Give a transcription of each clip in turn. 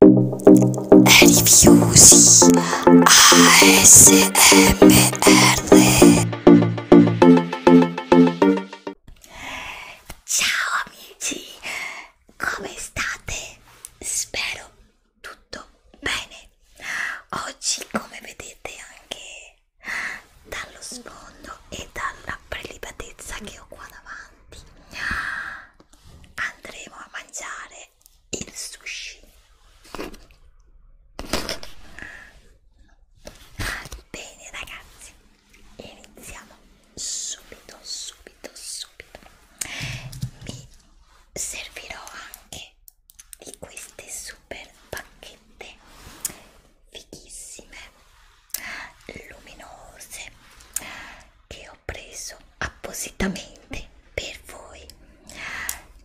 Rifiusi ASMR Ciao amici, come state? Spero tutto bene. Oggi come vedete anche dallo sfondo e dalla prelibatezza che ho qua davanti andremo a mangiare il sushi bene ragazzi iniziamo subito subito subito mi servirò anche di queste super bacchette fighissime luminose che ho preso appositamente per voi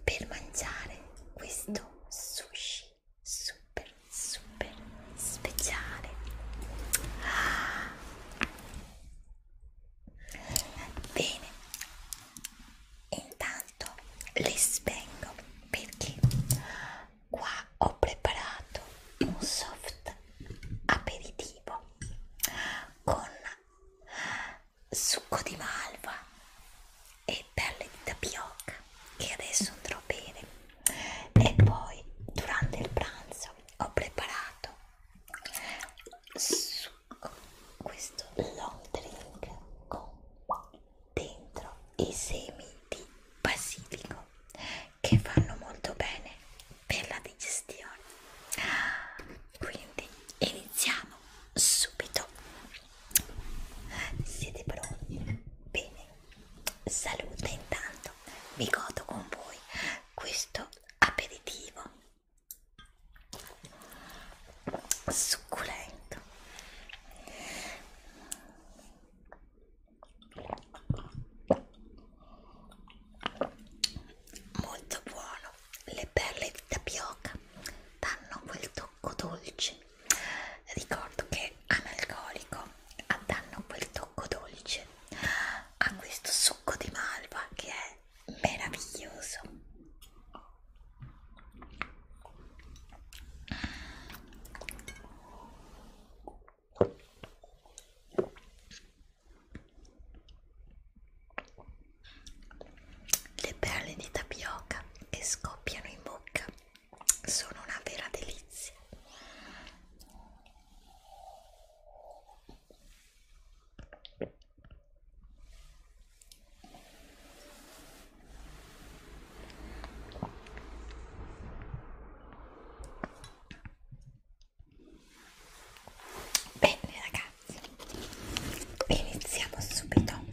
per mangiare questo sushi super super speciale bene intanto li spengo perché qua ho preparato un soft aperitivo con succo di malva e perle di tapioca che adesso andrò bene e poi durante il pranzo ho preparato succo, questo long drink con dentro i semi di basilico che fanno molto bene per la digestione quindi iniziamo subito siete pronti? bene salute intanto mi godo con voi questo aperitivo succulento molto buono le perle di tapioca danno quel tocco dolce ricordo che analcolico danno quel tocco dolce a questo succo di malva che è meraviglioso le perle di tapioca che scoppiano in bocca sono una vera delizia. Bene ragazzi, iniziamo subito.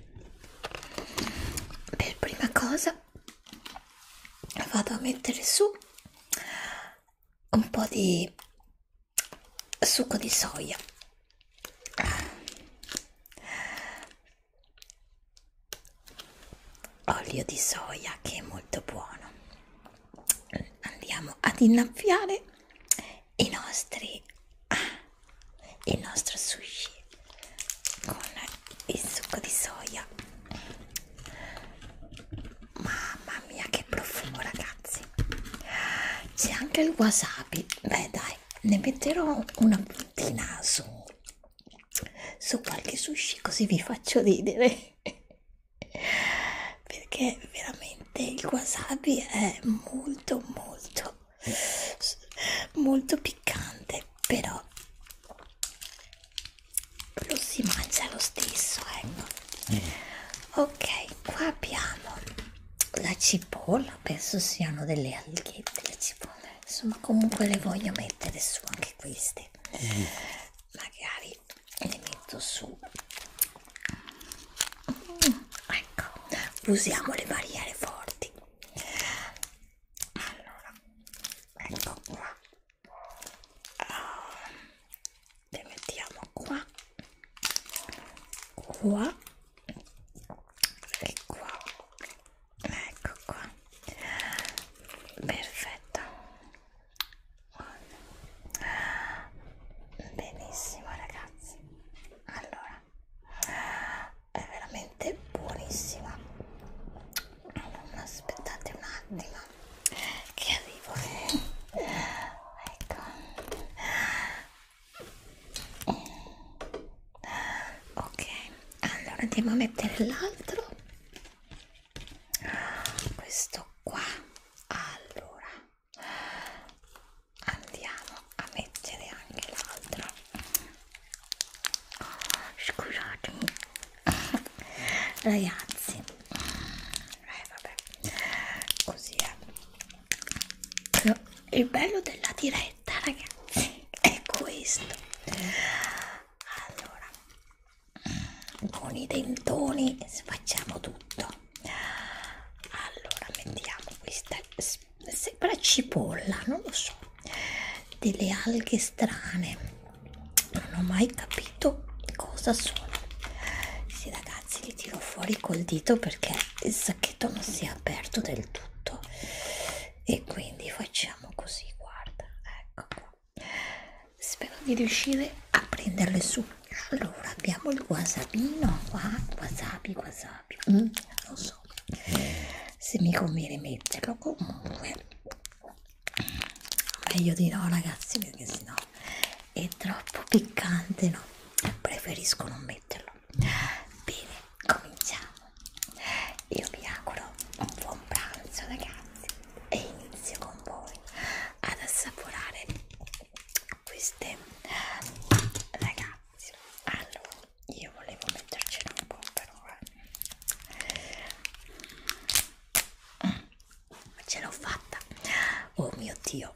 Per prima cosa vado a mettere su un po' di succo di soia. Olio di soia che è molto buono. Andiamo ad innaffiare i nostri ah, il nostro sushi con il succo di soia mamma mia che profumo ragazzi c'è anche il wasabi beh dai ne metterò una puntina su su qualche sushi così vi faccio ridere perché veramente il wasabi è molto molto molto piccante però lo si mangia lo stesso ecco mm. ok qua abbiamo la cipolla penso siano delle alghette le cipolle insomma comunque le voglio mettere su anche queste mm. magari e le metto su mm, ecco usiamo le barriere forti allora ecco qua ah, le mettiamo qua qua e qua ecco qua perfetto benissimo ragazzi allora è veramente buonissima non aspettate un attimo che arrivo ecco ok allora andiamo a mettere l'altro questo qua allora andiamo a mettere anche l'altra oh, scusatemi ragazzi eh vabbè così è il bello della diretta ragazzi è questo allora con i dentoni facciamo tutto allora mettiamo questa sembra cipolla non lo so delle alghe strane non ho mai capito cosa sono sì ragazzi li tiro fuori col dito perché il sacchetto non si è aperto del tutto e quindi facciamo così guarda ecco qua spero di riuscire a prenderle su allora abbiamo il wasabino qua wasabi wasabi mm, non lo so se mi conviene metterlo comunque meglio di no ragazzi perché sennò è troppo piccante no preferisco non metterlo bene cominciamo io vi auguro un buon pranzo ragazzi e inizio con voi ad assaporare queste ragazzi allora io volevo metterci un po' però eh. mm, ce l'ho fatta oh mio dio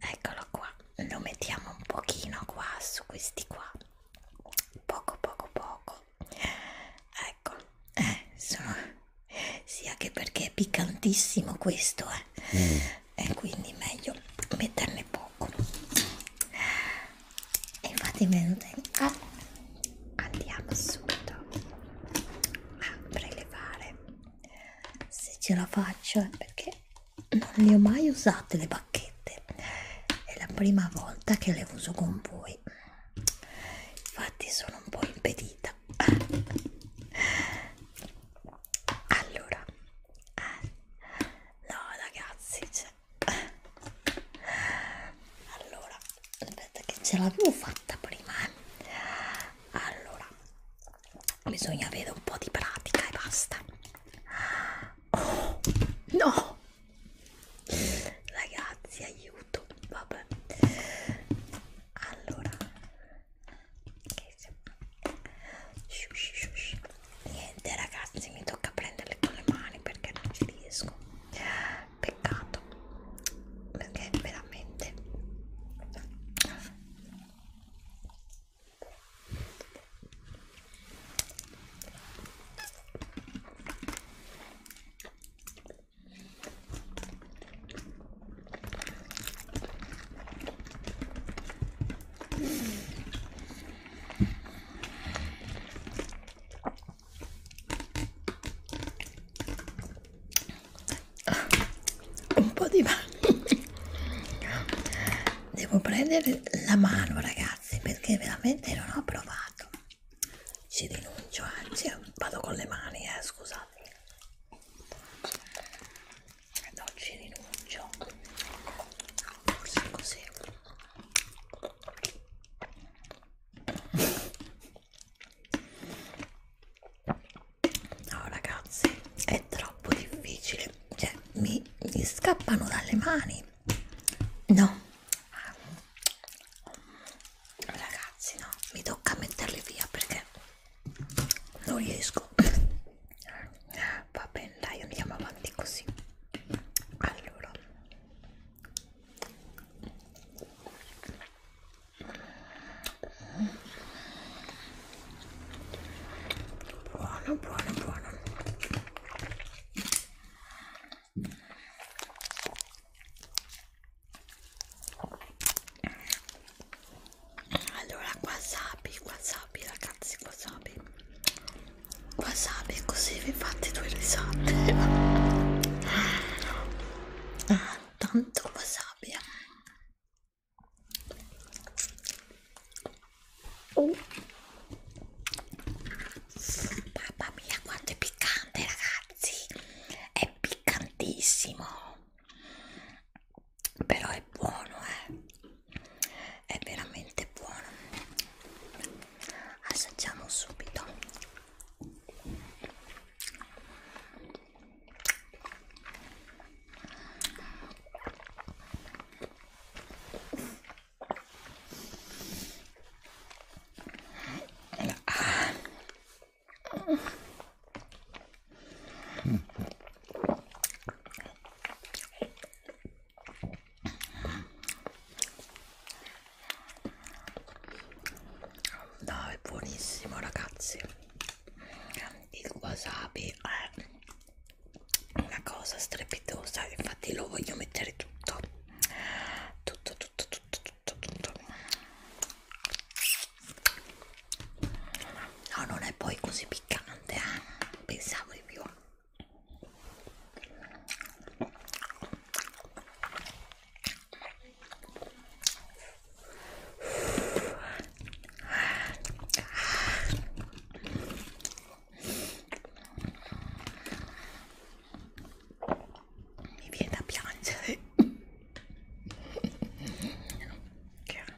eccolo qua lo mettiamo un pochino qua su questi qua poco poco poco ecco eh, sono sia che perché è piccantissimo questo eh. mm. e quindi meglio metterne poco e infatti venuto ah, andiamo subito a prelevare se ce la faccio è perché non le ho mai usate le bacchette è la prima volta che le uso con voi infatti sono un po' impedita allora ah, no ragazzi cioè. allora aspetta che ce l'avevo fatta prima eh. allora bisogna avere un po' di pratica e basta oh, no ragazzi aiuto vabbè allora Shush, shush. niente ragazzi mi tocca prenderle con le mani perché non ci riesco peccato perché veramente un po' di bagno devo prendere la mano ragazzi perché veramente non ho provato ci rinuncio anzi vado con le mani eh, scusate ad oggi rinuncio forse così no ragazzi è troppo difficile cioè mi, mi scappano dalle mani no ragazzi no mi tocca metterli via perché non riesco va bene dai andiamo avanti così allora buono buono buono allora wasabi wasabi ragazzi wasabi wasabi così vi fate due risate ah, tanto wasabi eh. oh. mamma mia quanto è piccante ragazzi è piccantissimo però è buono eh? è veramente buono assaggiamo subito ah, No, è buonissimo ragazzi. Il wasabi è una cosa strepitosa, infatti lo voglio mettere tutto. Tutto, tutto, tutto, tutto, tutto no non è poi così piccante eh? pensavo di più mi viene da piangere che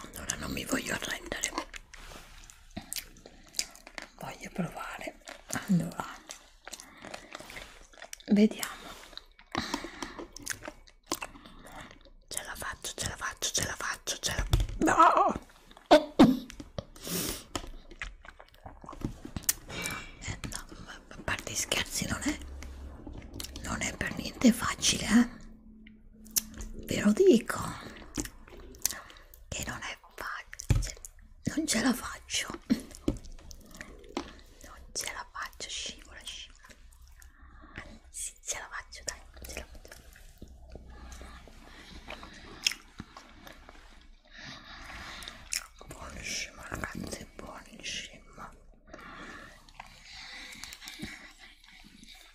allora non mi voglio arrendere voglio provare allora vediamo ce la faccio ce la faccio ce la faccio ce la no eh, no, a parte scherzi non è non è per niente facile eh ve lo dico che non è facile non ce la faccio non ce la faccio scivola scivola sì, ce la faccio dai ce la faccio buonissimo ragazzi buonissimo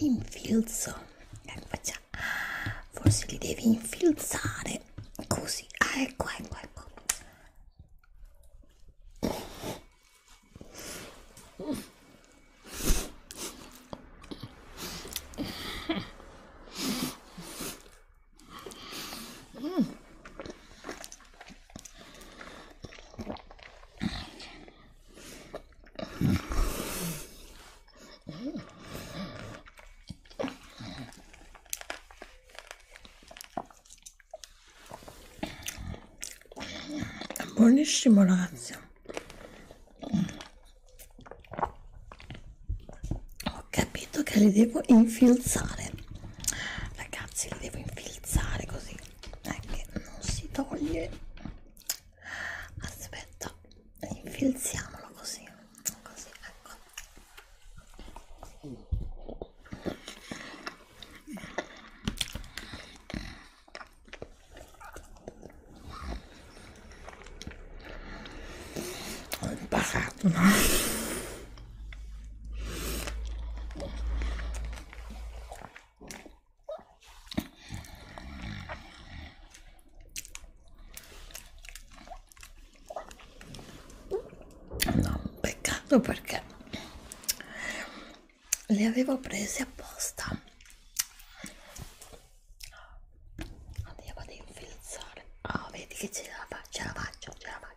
l'infilzo ecco già forse li devi infilzare così ah, ecco ecco ecco buonissimo ragazzi ho capito che li devo infilzare ragazzi li devo infilzare così è che non si toglie aspetta infilziamolo così così ecco ho imparato no? No, peccato perché le avevo prese apposta. Oddio, vado a infilzare. Oh, vedi che ce la faccio, ce la faccio, ce la faccio.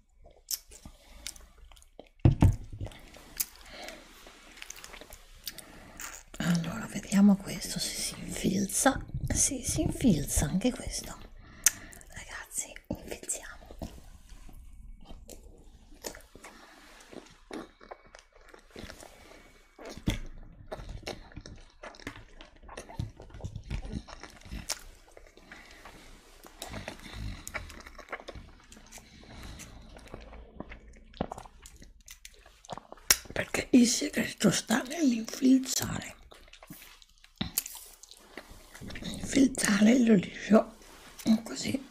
allora vediamo questo se si infilza si, si infilza anche questo ragazzi infilziamo perché il segreto sta nell'infilzare infilzare l'olio così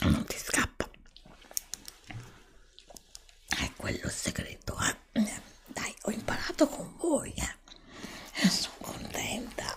non ti scappa è quello il segreto eh? dai ho imparato con voi eh? sono contenta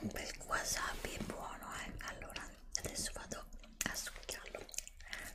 un bel wasabi è buono eh? allora adesso vado a succhiarlo ah, eh.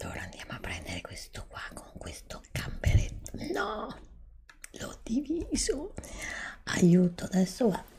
Allora andiamo a prendere questo qua con questo gamberetto. No, l'ho diviso. Aiuto, adesso va.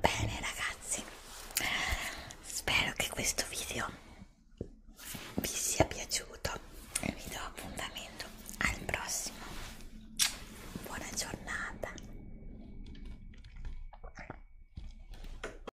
Bene ragazzi, spero che questo video vi sia piaciuto e vi do appuntamento al prossimo. Buona giornata.